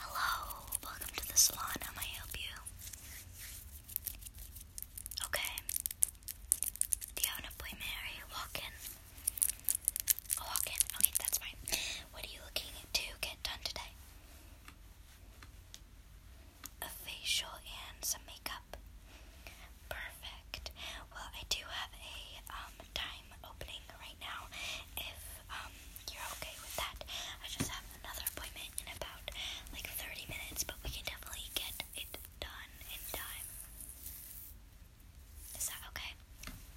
Hello, welcome to the salon. How may I help you? Okay. Do you have an appointment or are you walking? Oh, Okay, that's fine. What are you looking to get done today? A facial and some makeup. Perfect. Well, I do have a um time opening right now if um, you're okay with that. I just have another appointment in about like 30 minutes, but we can definitely get it done in time. Is that okay?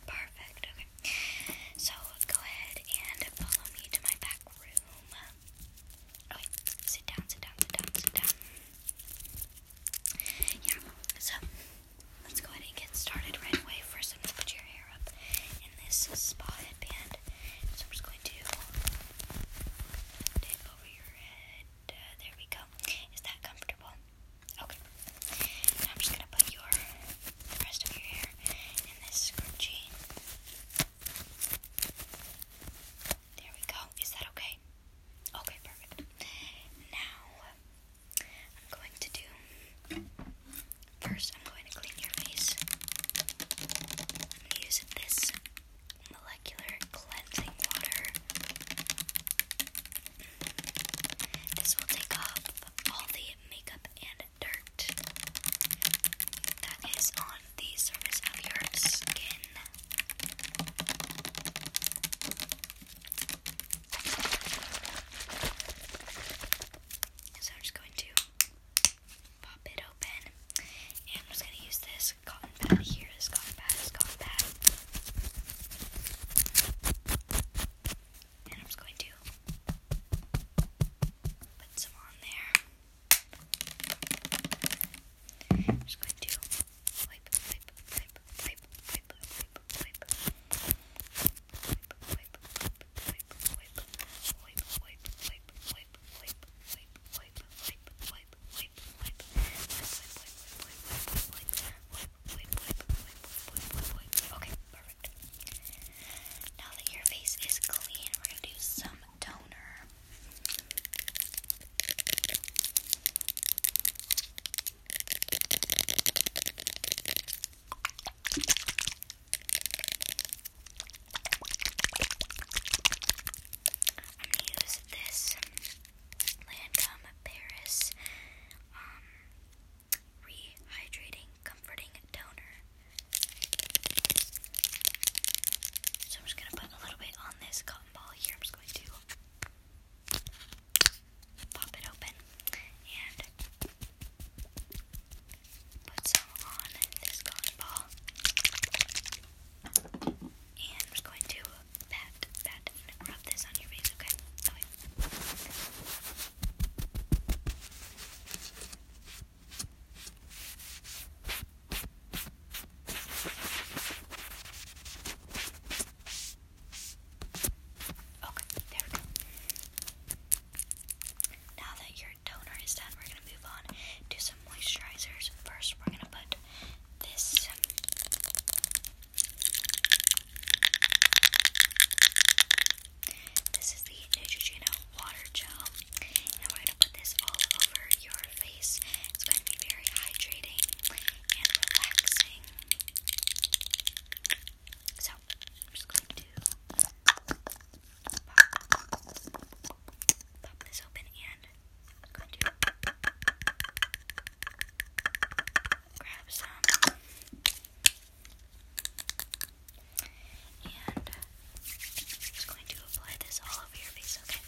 Perfect, okay. So go ahead and follow me to my back room. Okay, sit down, sit down, sit down, sit down. Yeah, so let's go ahead and get started right away. First, I'm going to put your hair up in this spa headband. So I'm just going to tip over your head. Uh, there we go. Is that comfortable? Okay. Now I'm just going to put your the rest of your hair in this scrunchie. There we go. Is that okay? Okay, perfect. Now, I'm going to do first, I'm going to clean your face. I'm going this molecular cleansing water. This will take off all the makeup and dirt that is on the surface of your skin. So I'm just going to pop it open. And I'm just going to use this cotton pad here. This cotton pad, this cotton pad. And I'm just going to put some on there. just going to wipe, wipe, wipe, wipe, wipe, wipe, wipe, Okay, perfect. Now that your face is clean, we're gonna do some toner. I'm gonna use this Lancome Paris um, Rehydrating Comforting Toner. So I'm just gonna put a little bit on this cotton ball here. I'm just going to pop it open and put some on this cotton ball. And I'm just going to pat, pat, and rub this on your face, okay? Okay, there we go. Now that your toner is done, we're gonna move on to some moisturizers. First, we're gonna put this. This is the Neutrogena Water Gel, and we're gonna put this all over your face. It's going to be very hydrating and relaxing. So, I'm just going to pop, this open and I'm going to grab some and I'm just going to apply this all over your face, okay?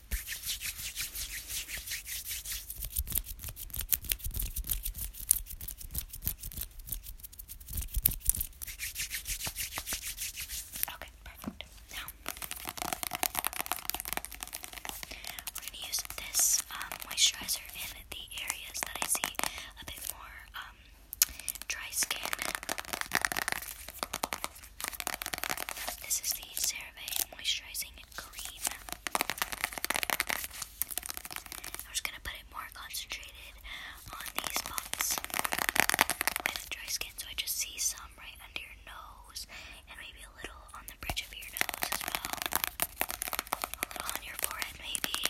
Okay, perfect. Now we're gonna use this um, moisturizer in the areas that I see a bit more um, dry skin. This is the CeraVe Moisturizing Cream. I'm just gonna put it more concentrated on these spots with dry skin, so I just see some right under your nose and maybe a little on the bridge of your nose as well. A little on your forehead, maybe.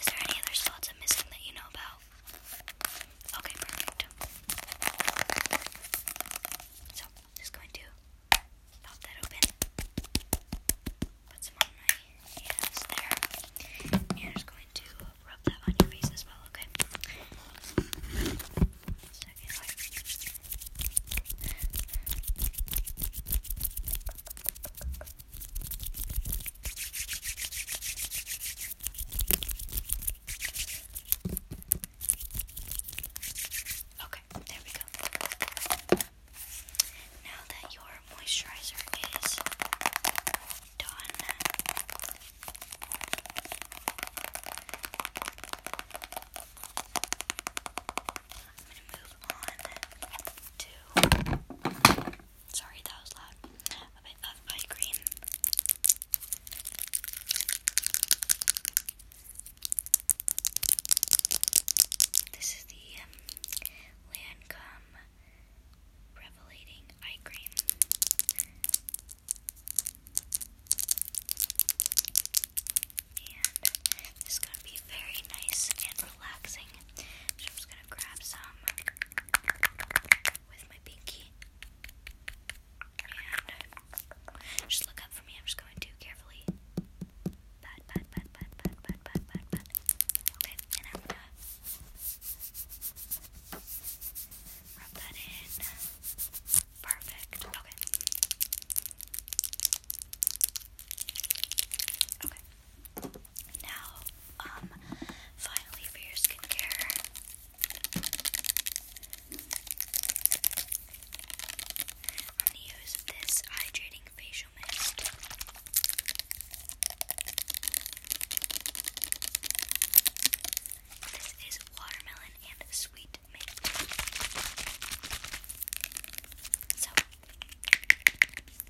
Is there any other spots I'm missing that you know about? Okay, perfect. So, I'm just going to pop that open. Put some on my hands there. And I'm just going to rub that on your face as well, okay? Okay, there we go. Now that your moisturizer is done, I'm going to move on to. Sorry, that was loud. A bit of eye cream. This is the um, Lancome Revelating Eye Cream. And it's going to be very nice and relaxing. just going to grab some with my pinky. And uh, just look up for me. I'm just going to carefully. Pat, pat, pat, pat, pat, pat, pat, pat, Okay, and I'm gonna rub that in. Perfect. Okay. Okay. Now um, finally for your skincare. i use this hydrating facial mist. This is watermelon and sweet mint. So,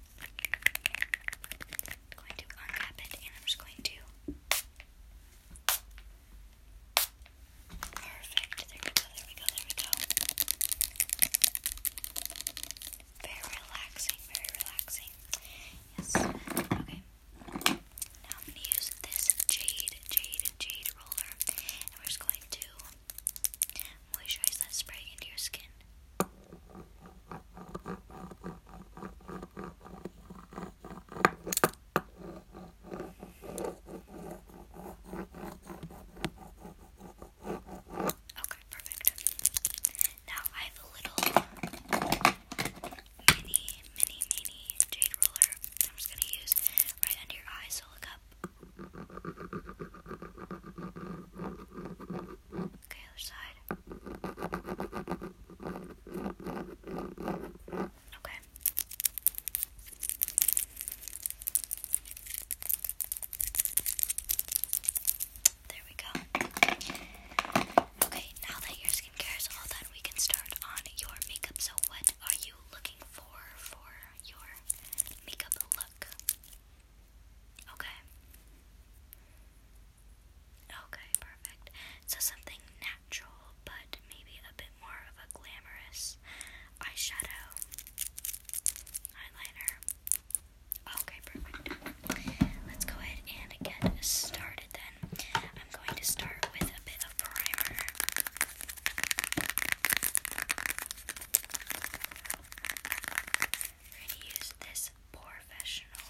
I'm going to unwrap it and I'm just going to. Perfect. There we go, there we go, there we go. Very relaxing, very relaxing. Yes. Okay. Now I'm going to use this jade, jade, jade roller, and we're just going to moisturize that spray into your skin. Okay, perfect. Now I have a little mini, mini, mini jade roller. I'm just gonna use right under your eyes. So look up. Okay, other side. Okay. There we go. Okay, now that your skincare is all done, we can start on your makeup. So, what are you looking for for your makeup look? Okay. Okay, perfect. So something natural, but maybe a bit more of a glamorous eyeshadow, eyeliner. Okay, perfect. Let's go ahead and get started then. I'm going to start with a bit of primer. going to use this Professional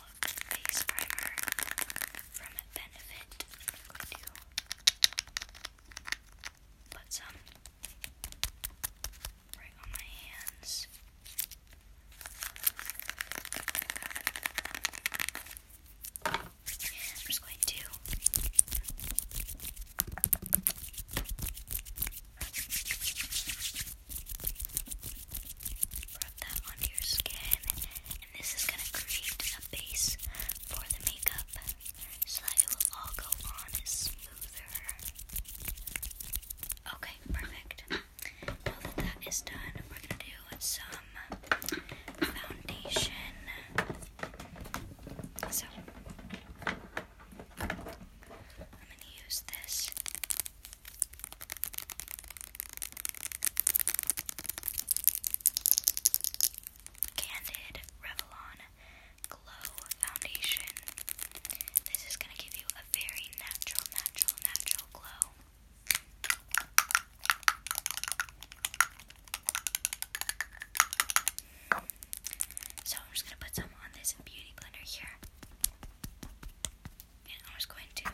Face Primer from Benefit. put some right on my hands. I'm just going to Rub that onto your skin, and this is gonna create a base for the makeup so that it will all go on smoother. Okay, perfect. Now that that is done, we're gonna do some foundation. So, I'm going to use this. Candid Revlon Glow Foundation. This is going to give you a very natural, natural, natural glow. So I'm just gonna put some on this beauty blender here. And I'm just going to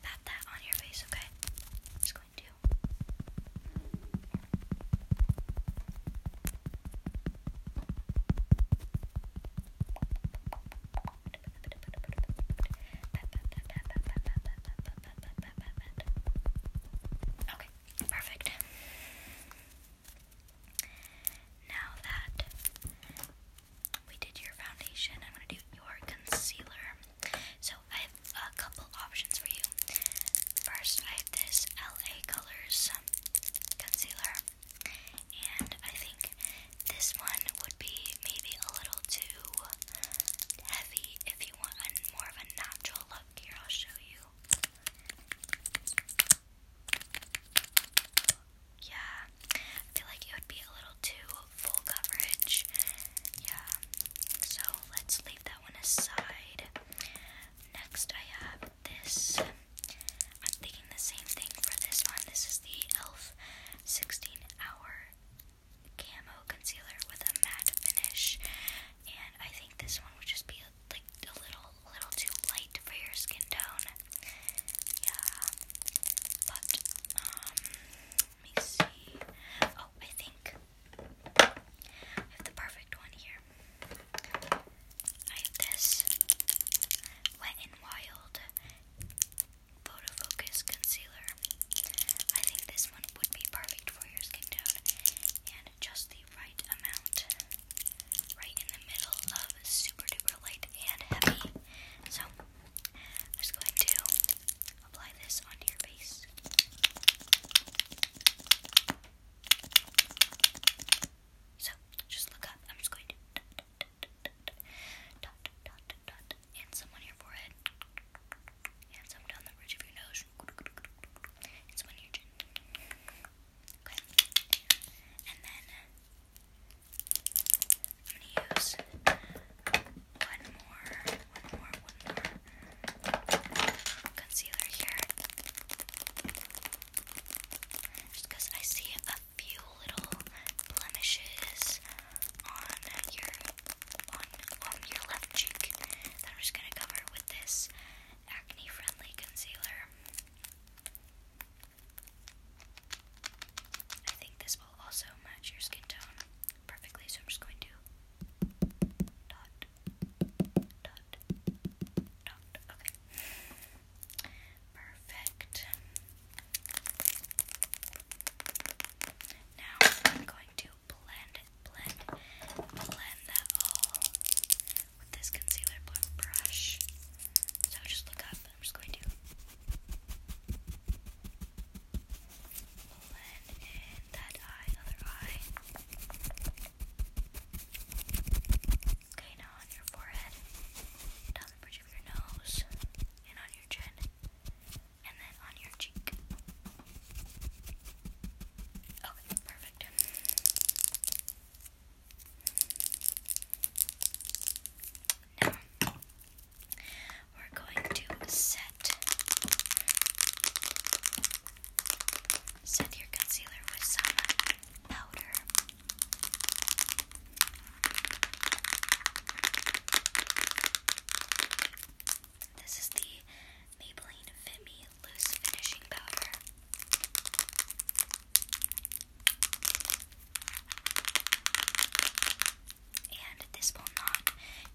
pat that on your face, okay? just going to Okay, Perfect. Now that we did your foundation, I'm going to do your concealer. So I have a couple options for you. First, I have this LA Colors um, concealer, and I think this one would be maybe a little too heavy if you want more of a natural look. Here, I'll show you. Yeah, I feel like it would be a little too full coverage. Yeah, so let's leave that one aside. Next, I have this. I'm thinking the same thing for this one. This is the e.l.f. 16 Hour Camo Concealer with a matte finish and I think this one would just be a, like a little, little too light for your skin tone. Yeah, but um, let me see. Oh, I think I have the perfect one here. I have this Wet n Wild Photo Concealer I think this one would be perfect for your skin tone and just the right amount, right in the middle of super duper light and heavy. So, I'm just going to apply this onto your face. So, just look up. I'm just going to dot, dot, dot, dot, dot, dot, dot, dot, and some on your forehead and some down the bridge of your nose and some on your chin. Okay. And then I'm gonna use one more, one more, one more concealer here. Just because I see a few little blemishes on your on on your left cheek. Then I'm just gonna cover with this acne friendly concealer. I think this will also match your skin tone perfectly, so I'm just going to dot dot dot okay. Perfect. Now I'm going to blend, blend, blend that all with this concealer brush. So just look up. I'm just going to blend in that eye, other eye. Okay, now on your forehead, down the bridge of your nose, and on your chin and then on your cheek. Okay, perfect. Now, we're going to set set your concealer with some powder. This is the Maybelline Fit Me Loose Finishing Powder. And this will not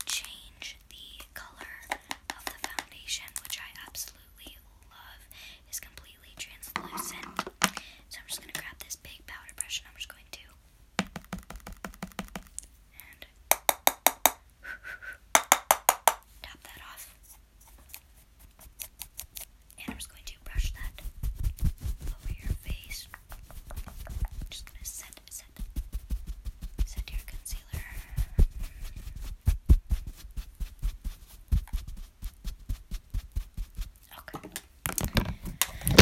change the color of the foundation, which I absolutely love. It's completely translucent. So I'm just going to grab this big powder brush and I'm just going to and tap that off. And I'm just going to brush that over your face. just going to set, set, set your concealer. Okay.